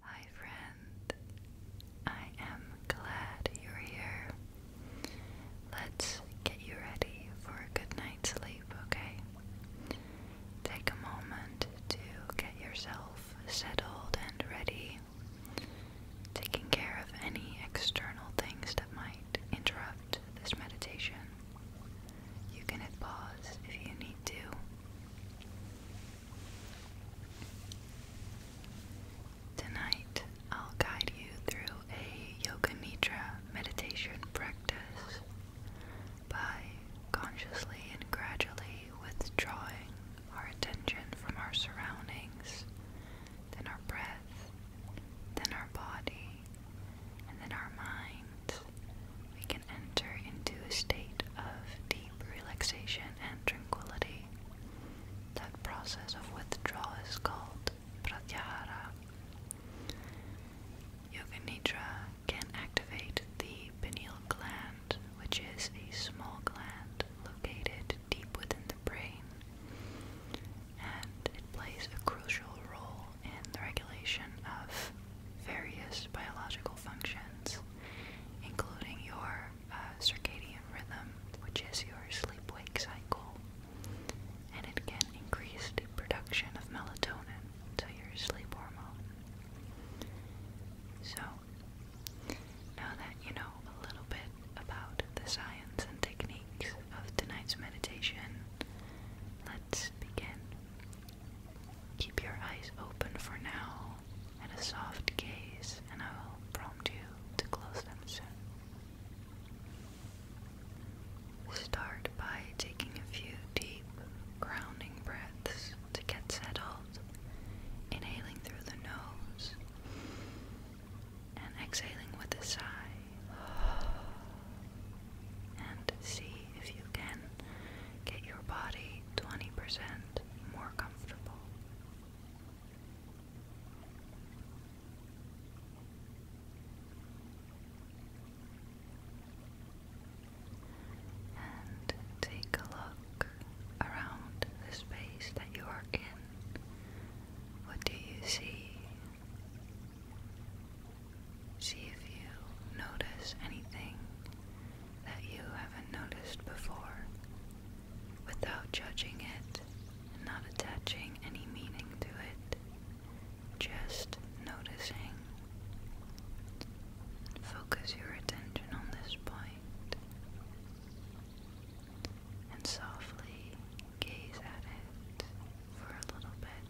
Hi, friend. I am glad you're here. Let's get you ready for a good night's sleep, okay? Take a moment to get yourself settled and ready, taking care of any external things that might interrupt this meditation. You can pause if you need to. Tonight, I'll guide you through a Yoga Nidra meditation practice by consciously and gradually withdrawing our attention from our surroundings, then our breath, then our body, and then our mind we can enter into a state of deep relaxation and tranquility. That process of withdrawal is called pratyahara. Yoga Nidra can activate the pineal gland, which is a small gland located deep within the brain, and it plays a crucial role in the regulation of various biological functions including your uh, circadian rhythm, which is your sleep wake cycle, and it can increase the production of melatonin, so your sleep hormone. So, now that you know a little bit about the science and techniques of tonight's meditation, let's begin. Keep your eyes open for now and a soft gaze, and I will prompt you to close them soon. Start by taking a few deep, grounding breaths to get settled, inhaling through the nose and exhaling with a sigh. And see if you can get your body 20% more comfortable. And take a look around the space that you are in. What do you see? See if you notice anything that you haven't noticed before without judging it and not attaching any meaning to it. Just noticing. Focus your attention on this point and softly gaze at it for a little bit.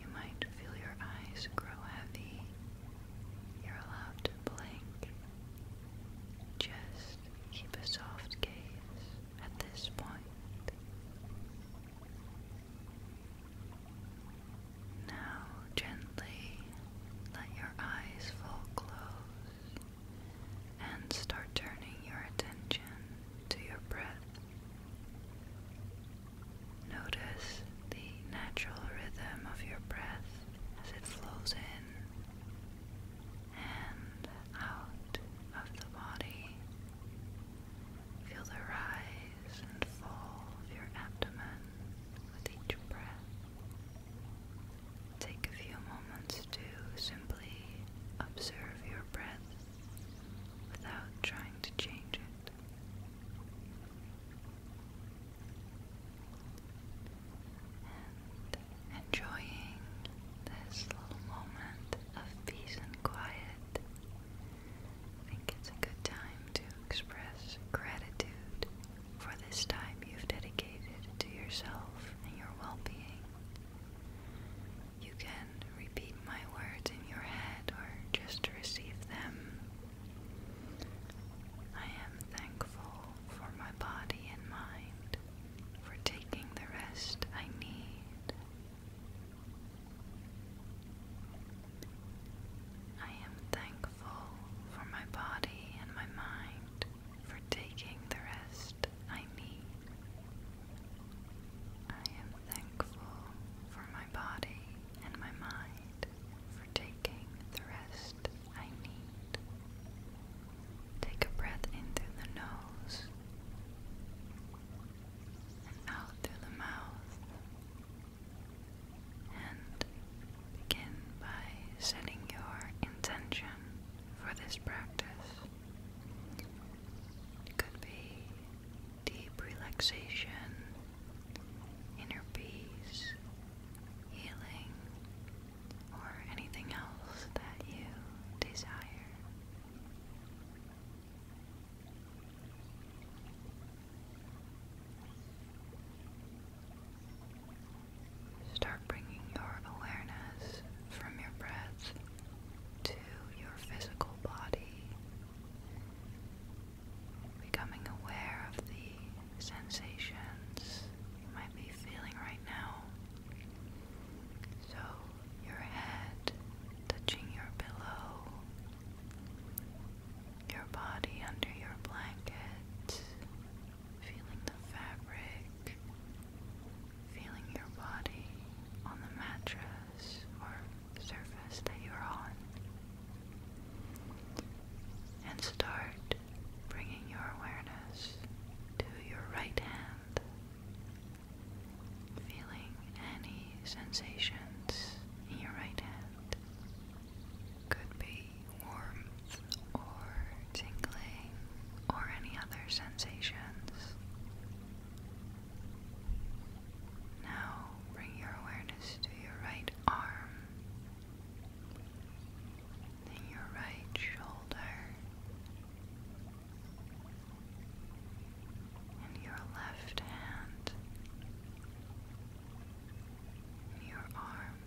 You might feel your eyes grow heavy. You're allowed to blink. Just keep a soft gaze at this point. Now, gently let your eyes fall closed and start turning your attention to your breath. Notice the natural rhythm of your breath as it flows in and out of the body. Feel the rise and fall of your abdomen with each breath. Take a few moments to simply observe your breath without trying to change it enjoying this little moment of peace and quiet. I think it's a good time to express gratitude for this time you've dedicated to yourself and your well being. You can repeat my words in your head or just receive them I am thankful for my body and mind for taking the rest I need. I am thankful for my body and my mind for taking the rest I need. I am thankful for my body and my mind for taking the rest I need. Take a breath in through the nose and out through the mouth. And begin by setting your intention for this practice. It could be deep relaxation inner peace, healing, or anything else that you desire. Start bringing your awareness from your breath to your physical body becoming aware of the sensations you might be feeling right now. So, your head touching your pillow, your body under your blanket, feeling the fabric, feeling your body on the mattress or surface that you're on. And start bringing your awareness to your right hand, feeling any sensations in your right hand. Could be warmth or tingling or any other sensations. Now bring your awareness to your right arm your right shoulder your left hand your arm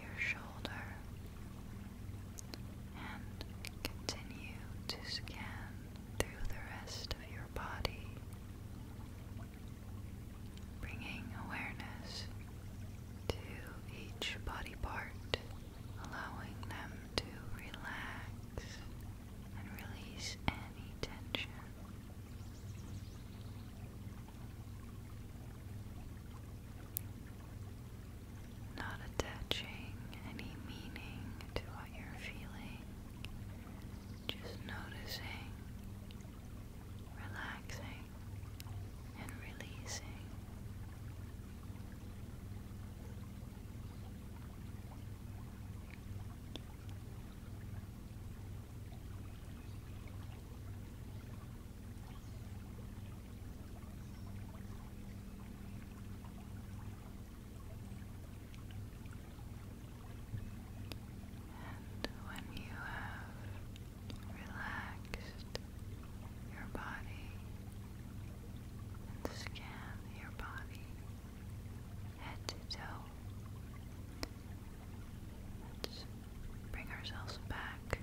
your shoulder and continue to scan through the rest of your body Bringing awareness to each body part, allowing them to relax and release any tension. Not attaching any meaning to what you're feeling, just noticing, relaxing, and releasing. And when you have relaxed your body and scan your body head to toe, let's bring ourselves back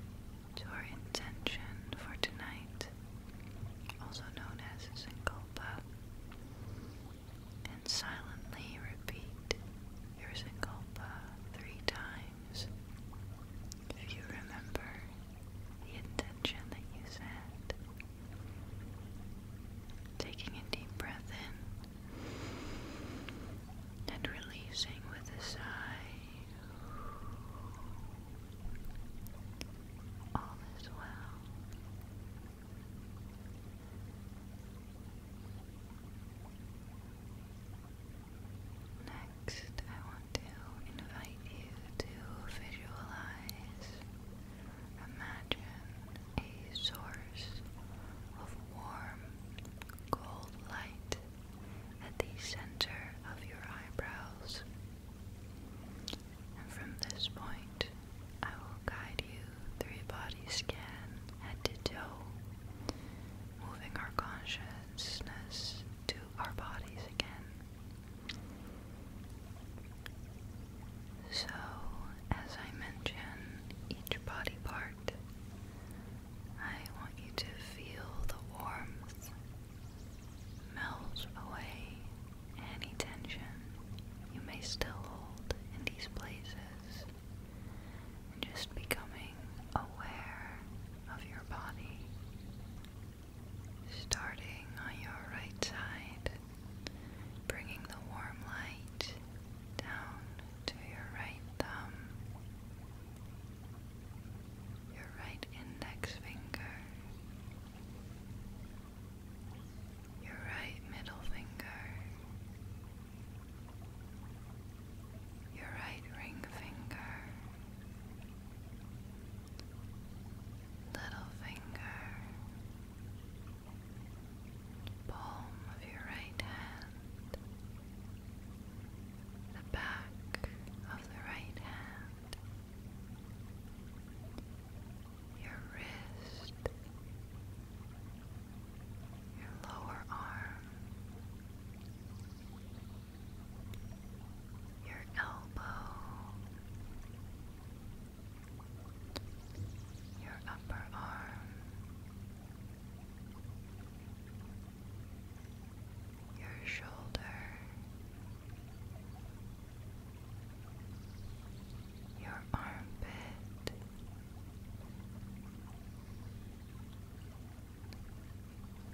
to our intention for tonight, also known as Sankalpa and silently repeat your sankalpa three times. If you remember the intention that you said, taking a deep breath in and releasing with a sigh. All is well. Next, I want to invite you to visualize, imagine a source of warm, gold light at the center of your eyebrows. And from this point, I will guide you through a body scan head to toe, moving our consciousness to our bodies again. So, as I mention each body part, I want you to feel the warmth melt away any tension you may still hold in these places just becoming aware of your body, starting on your right side, bringing the warm light down to your right thumb, your right index finger. Your right middle finger, your right ring finger, little finger, palm of your right hand, the back of the right hand, your wrist your lower arm, your elbow, your upper arm, your shoulder, your armpit. Your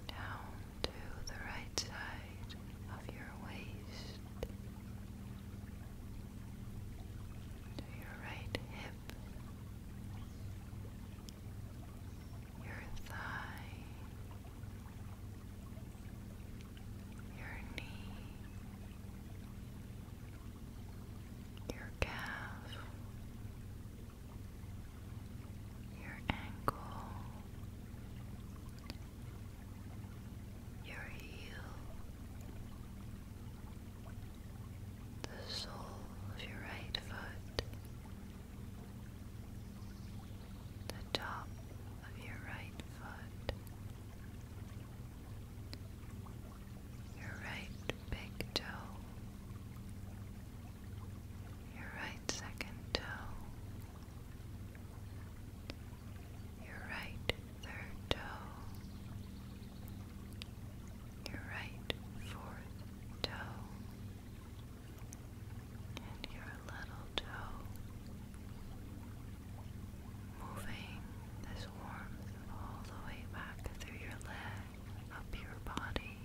down to the right side of your waist, to your right hip, your thigh, your knee your calf, your ankle, your heel, the sole of your right foot, the top of your right foot your right big toe, your right second toe, your right third toe, your right fourth toe, and your little toe. Moving this warmth all the way back through your leg up your body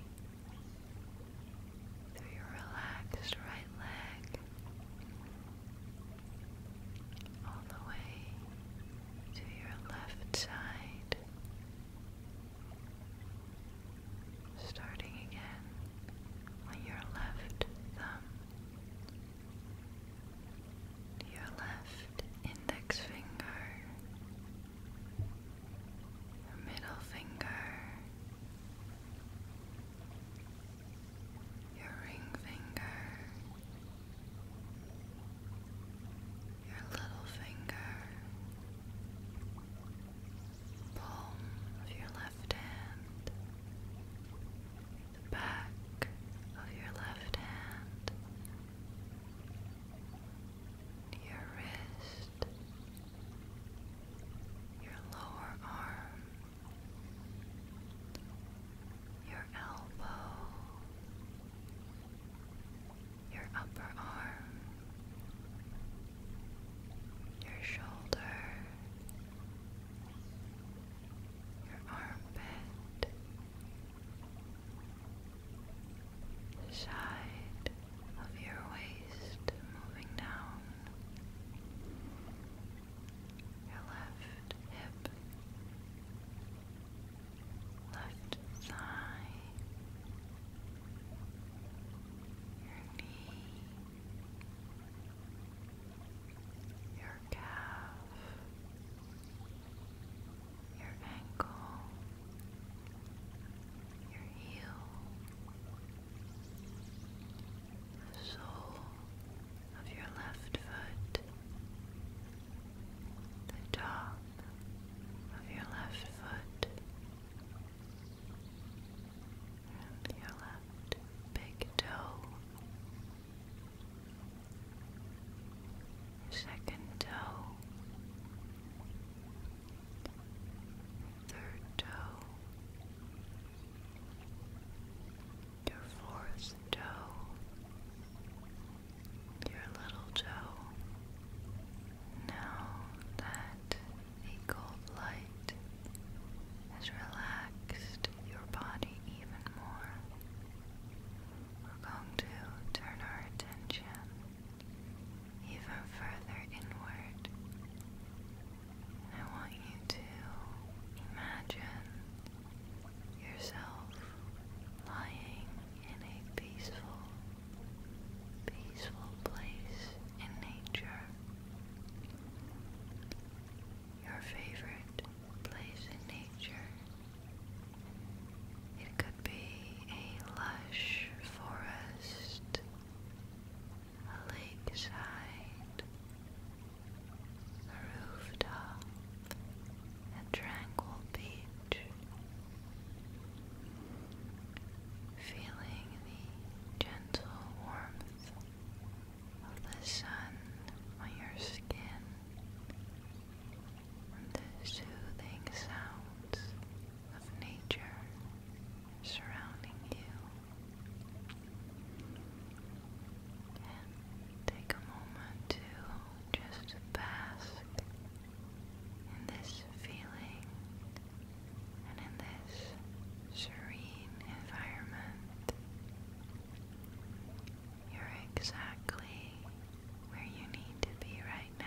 through your relaxed right leg all the way to your left side, starting again on your left thumb your left index finger, your middle finger, your ring finger, your little finger, palm of your left hand, the back of your left hand, your wrist, your lower arm, your elbow, your upper arm, your shoulder, your armpit the side of your waist moving down, your left hip, left thigh, your knee, your calf your ankle, your heel, the sole of your left foot, the top of your left foot, and your left big toe second toe, third toe, your fourth toe, your little toe. Now that the gold light has relaxed your body even more, we're going to turn our attention even further inward. I want you to imagine yourself lying in a peaceful, peaceful place in nature. Your favorite place in nature it could be a lush forest, a lakeside, a rooftop, a tranquil beach. Feeling the gentle warmth of the sun on your skin the soothing sounds of nature surrounding you. And take a moment to just bask in this feeling and in this serene environment. You're exactly be where you need to be right now.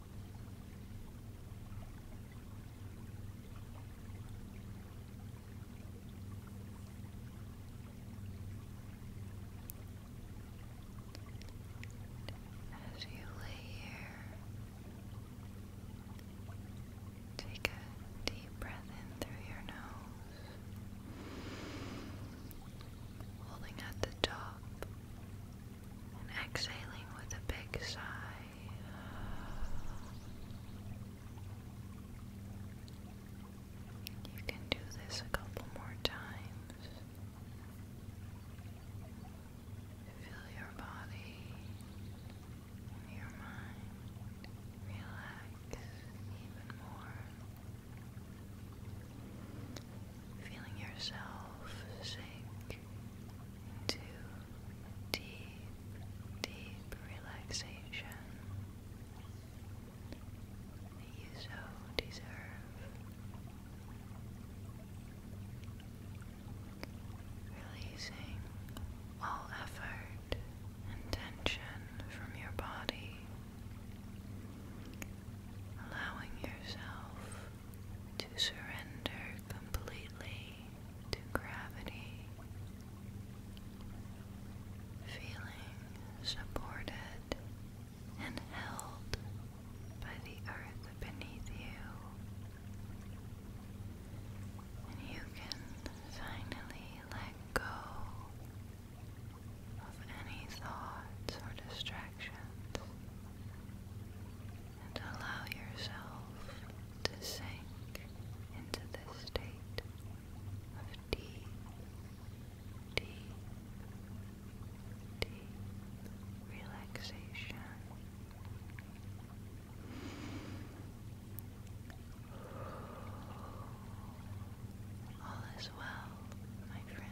As you lay here, take a deep breath in through your nose, holding at the top and exhaling with a big sigh. You can do this a couple more times. Feel your body your mind relax even more feeling yourself sink into deep, deep relaxation that you so deserve. Releasing all effort and tension from your body, allowing yourself to surrender completely to gravity, feeling supported and held by the earth beneath you. And you can finally let go of any thoughts or distractions and allow yourself to sink into this state of deep, deep, deep relaxation. All is well, my friend.